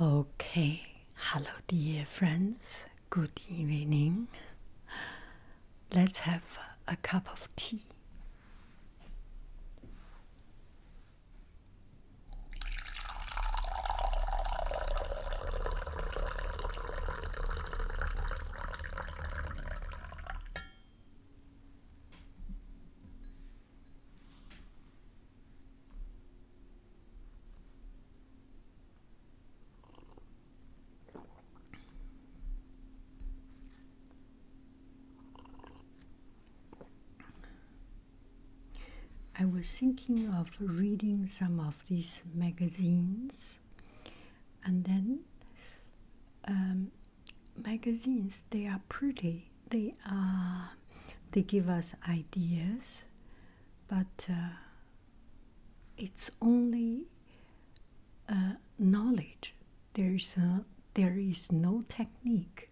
Okay, hello, dear friends. Good evening. Let's have a cup of tea. I was thinking of reading some of these magazines, and then um, magazines they are pretty, they are uh, they give us ideas but uh, it's only uh, knowledge there is a, there is no technique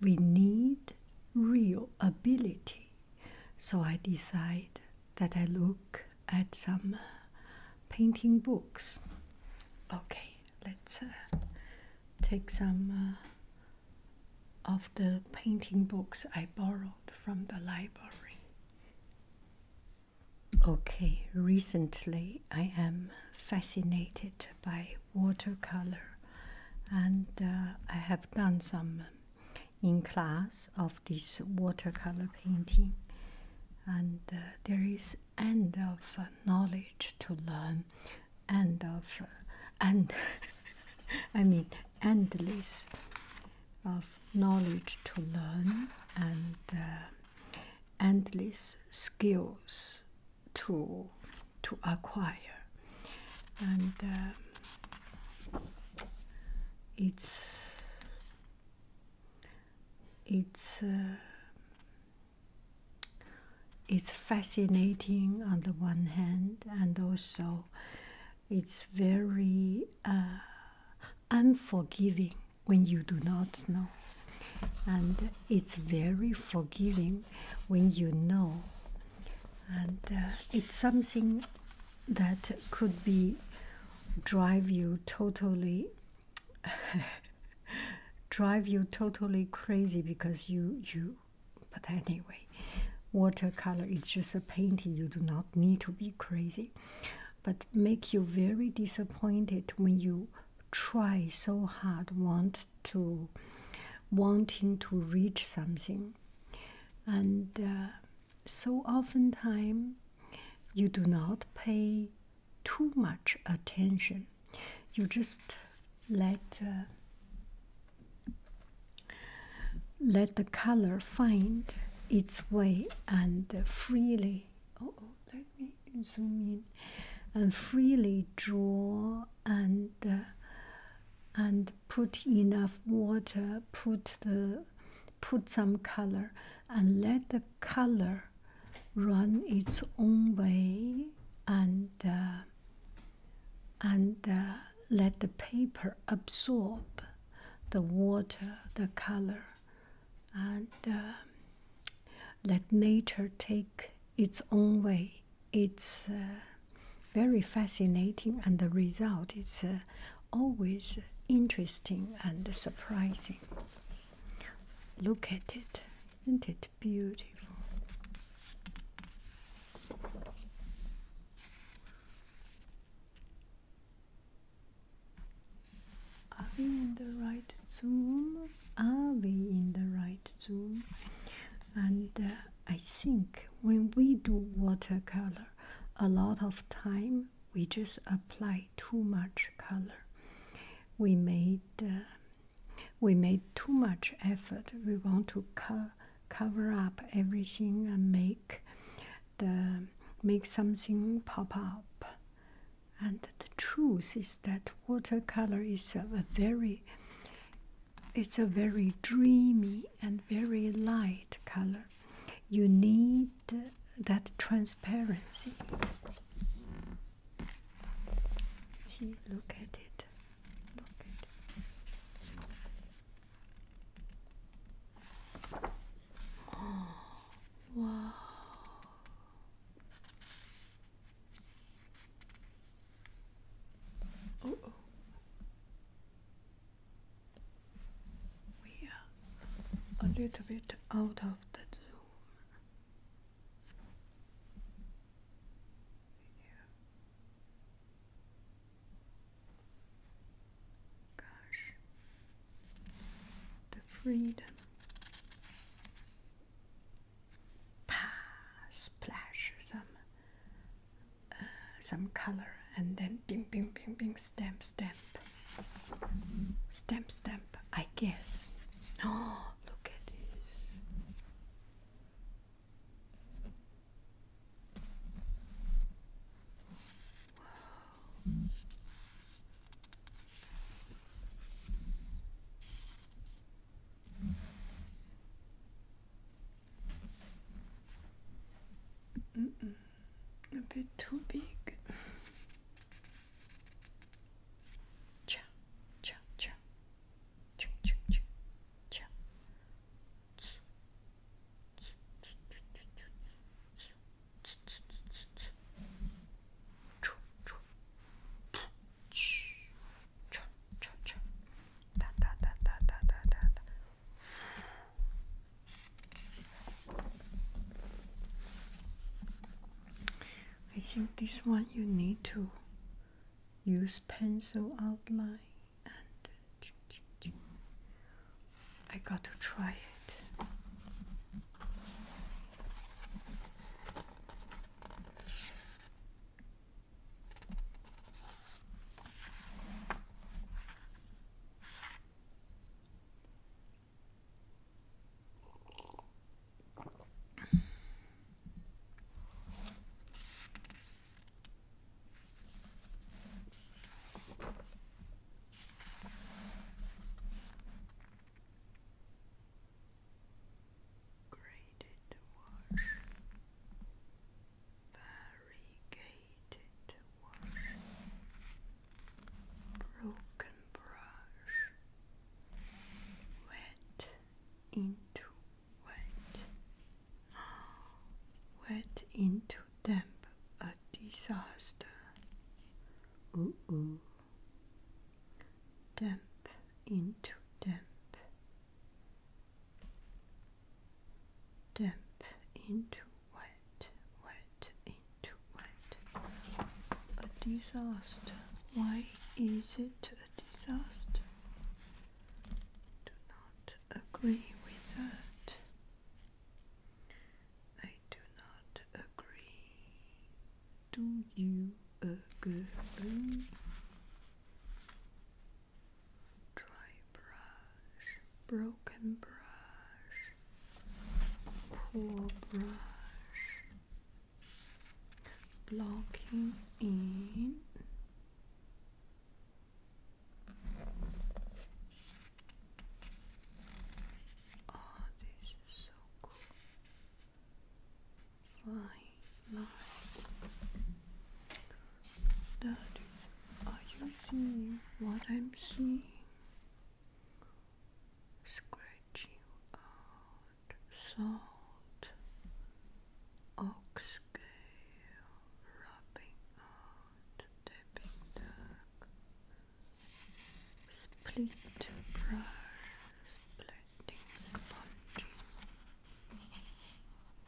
we need real ability so i decide that i look at some painting books okay let's take some of the painting books I borrowed from the library. Okay, recently I am fascinated by watercolor and uh, I have done some in class of this watercolor painting and uh, there is end of uh, knowledge to learn and of uh, I mean endless of knowledge to learn and uh, endless skills to to acquire and uh, it's it's uh, it's fascinating on the one hand, and also it's very uh, unforgiving when you do not know, and it's very forgiving when you know, and uh, it's something that could be drive you totally. drive you totally crazy because you you but anyway, watercolor is just a painting. You do not need to be crazy, but make you very disappointed when you try so hard, want to, wanting to reach something, and uh, so oftentimes you do not pay too much attention you just let uh, let the color find its way and freely oh, oh let me zoom in and freely draw and uh, and put enough water put the put some color and let the color run its own way and uh, and uh, let the paper absorb the water, the color, and uh, let nature take its own way. It's uh, very fascinating, and the result is always interesting and surprising. Look at it, isn't it beautiful. Are we in the right zoom? Are we in the right zoom? And uh, I think when we do watercolor, a lot of time we just apply too much color. We made uh, we made too much effort. We want to cover up everything and make the make something pop up. And the truth is that watercolor is a very it's a very dreamy and very light color. You need that transparency. See, look at it oh, wow. We are a little bit out of the zoom. Gosh, the freedom. Pa, splash some uh, some color, and then bing, bing, bing, bing, stamp, stamp, stamp, stamp. I guess. Oh, look at this. A bit too big. Cha, cha, cha. I think this one you need to use pencil outline and I got to try it. Graded wash, variegated wash, broken brush, wet into went, ah, went into damp a disaster. Ooh, ooh. Damp into damp. Damp into wet, wet into wet. A disaster. Why is it a disaster? do not agree with that. I do not agree. Do you agree? Dry brush, broken brush, poor brush, blocking in. Oh, this is so cool. Flying light. That is, are you seeing what I'm seeing? Scratching. Oh, salt, ox scale, rubbing out, tapping duck, split brush, splitting sponge,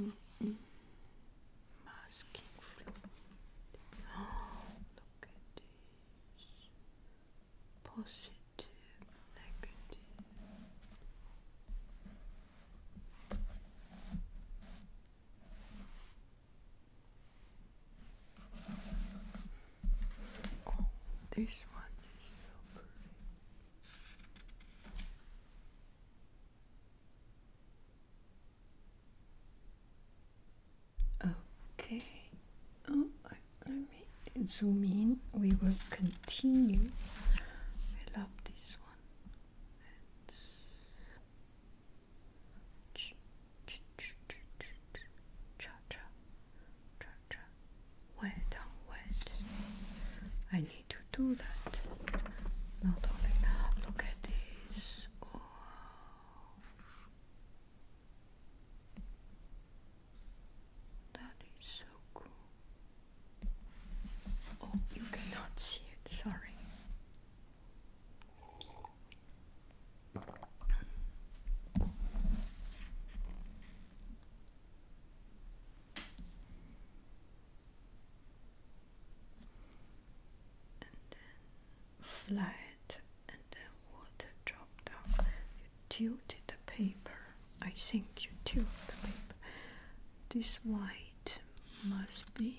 mm-hmm. masking fluid. look at this. Positive, negative. Oh, this one is so pretty. Okay, oh, let me zoom in. We will continue. I love this this one. cha cha cha cha Wet on wet. I need to do that. Not only now. Look at this. Oh. That is so cool. Oh, you cannot see it, sorry. And then flat and then water drop down. You tilted the paper. I think you tilted the paper. This white must be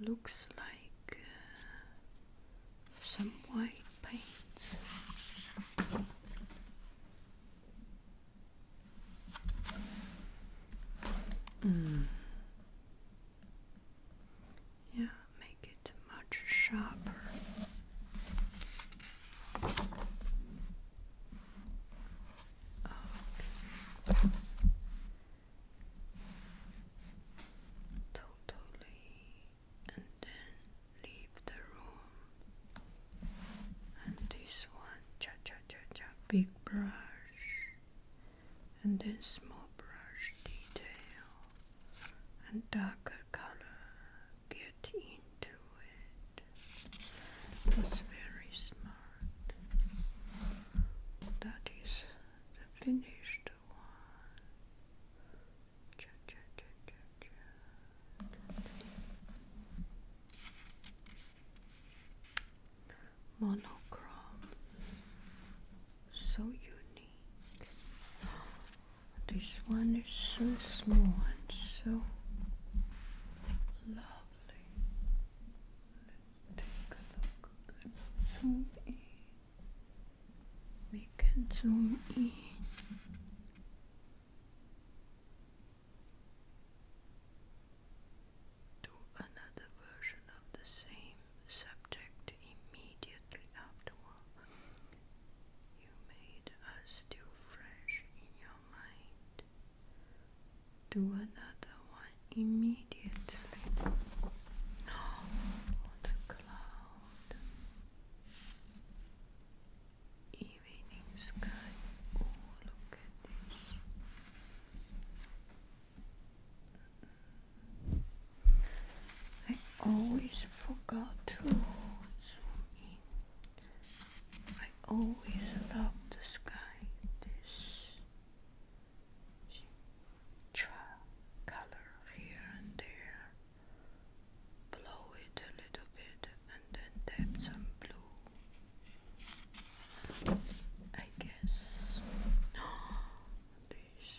looks like uh, some white paint. Hmm. Yeah, make it much sharper. Totally, and then leave the room. And this one, cha cha cha cha, big brush, and then small brush detail, and darker color get into it. That's very smart. That is the finished one. Cha -cha -cha -cha -cha. Monochrome, so unique. This one is so small and so lovely. Let's take a look. zoom in. We can zoom in. Do another version of the same subject immediately afterward. You made us still fresh in your your to another one immediately. Oh, the cloud, evening sky. Oh, look at this. I always forgot to I always love the sky, this color here and there. Blow it a little bit and then tap some blue. I guess this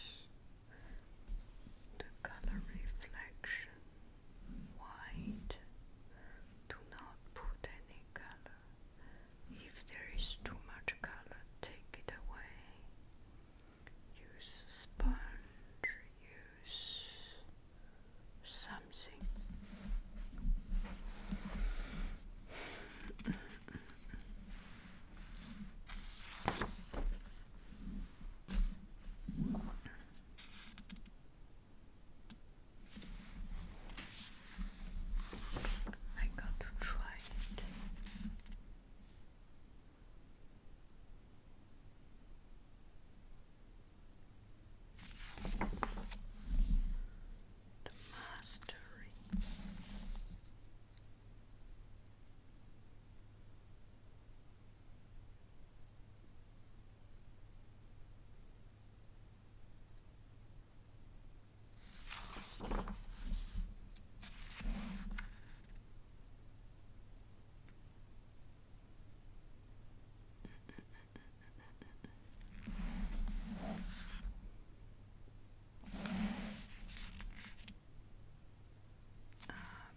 the color reflection white. Do not put any color. If there is too much color, take it away. Use sponge, use something. I got to try it. The mastery. Uh,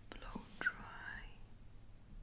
blow dry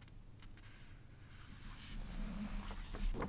There's one.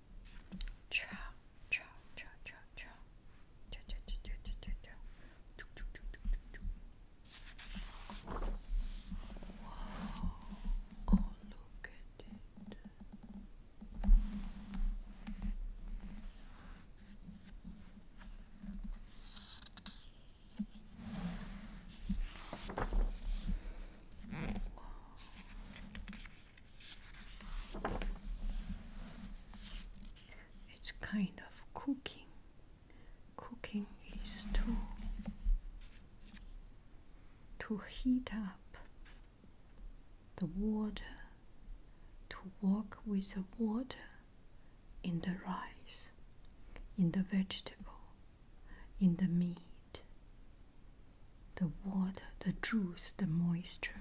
Ciao, ciao, ciao, ciao, ciao. Ciao, ciao, ciao, ciao, ciao, ciao, ciao. Wow. Oh, look at it. Wow. It's kind of cooking. Cooking is to to heat up the water, to work with the water in the rice, in the vegetable, in the meat the water, the juice, the moisture.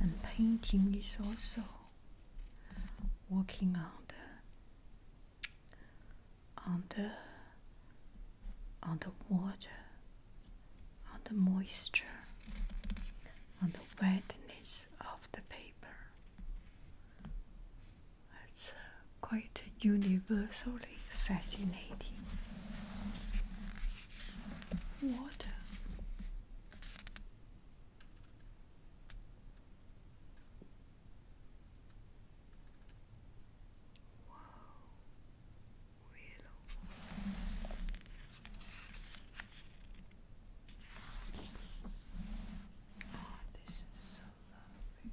And painting is also working on the on the on the water, on the moisture, on the wetness of the paper. It's uh, quite universally fascinating water. Wow, willow. Oh, this is so lovely.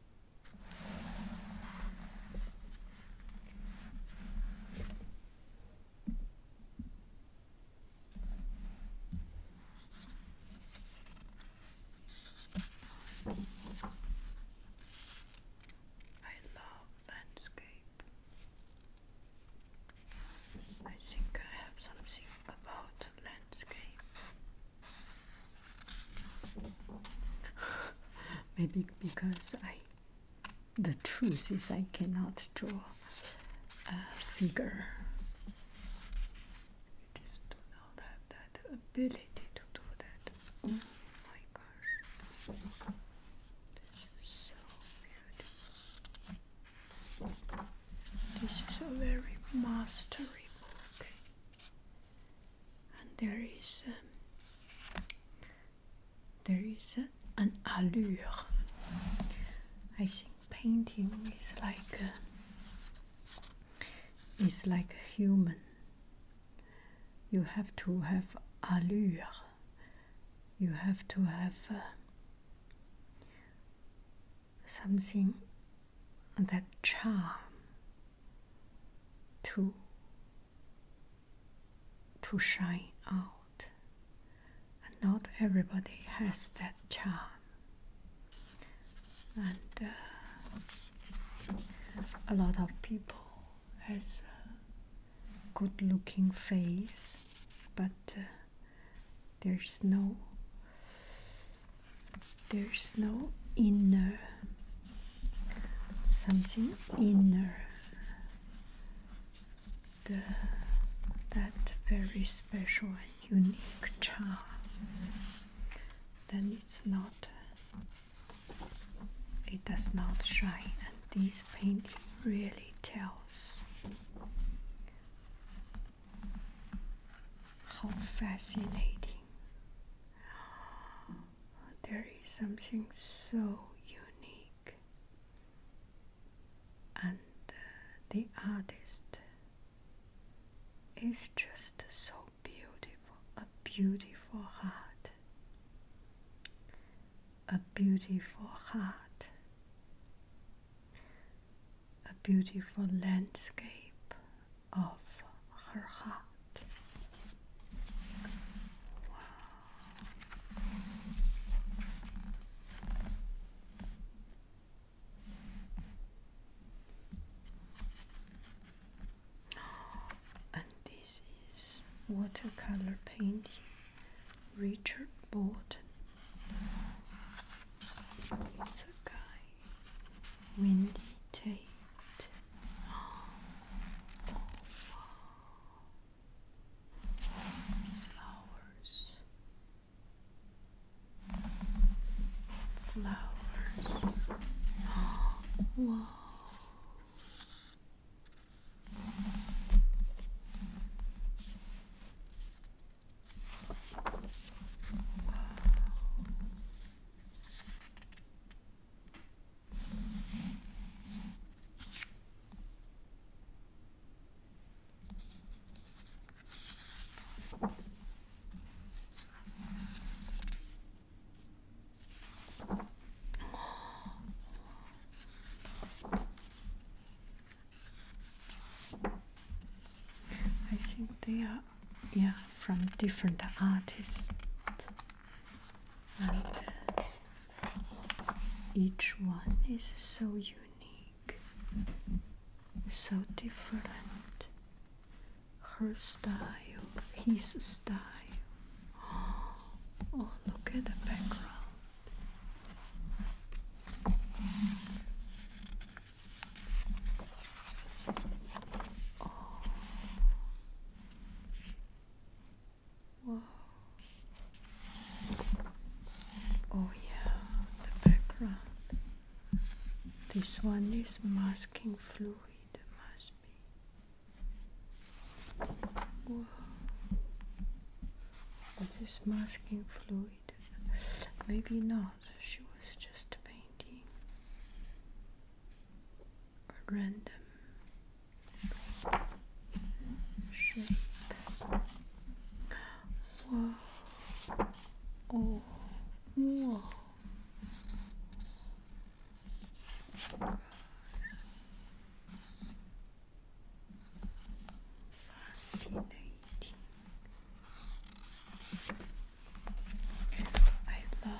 I love landscape. I think I have something about landscape. Maybe because I, the truth is, I cannot draw a figure. I just do not have that ability to do that. Mm. Oh my gosh, this is so beautiful. This is a very mastery book and there is um, there is an allure. I think painting is like is like a human. You have to have allure. You have to have uh, something that charm to to shine out. And not everybody has that charm. And uh, a lot of people has a good looking face, but uh, there's no there's no inner something inner the that very special and unique charm then it's not it does not shine and this painting really tells how fascinating there is something so unique, and uh, the artist is just so beautiful a beautiful heart, a beautiful heart, a beautiful landscape of her heart. And this is watercolor paint Richard Bolton. It's a guy, Windy Tate. Oh, wow. Flowers. Flowers. Oh, I think they are yeah from different artists and each one is so unique, so different. Her style, his style. Oh, oh look at the background. Oh. Oh, yeah, the background. This one is masking fluid, must be. Whoa. What is masking fluid? Maybe not. She was just painting random shape. Whoa. Oh. Whoa. I love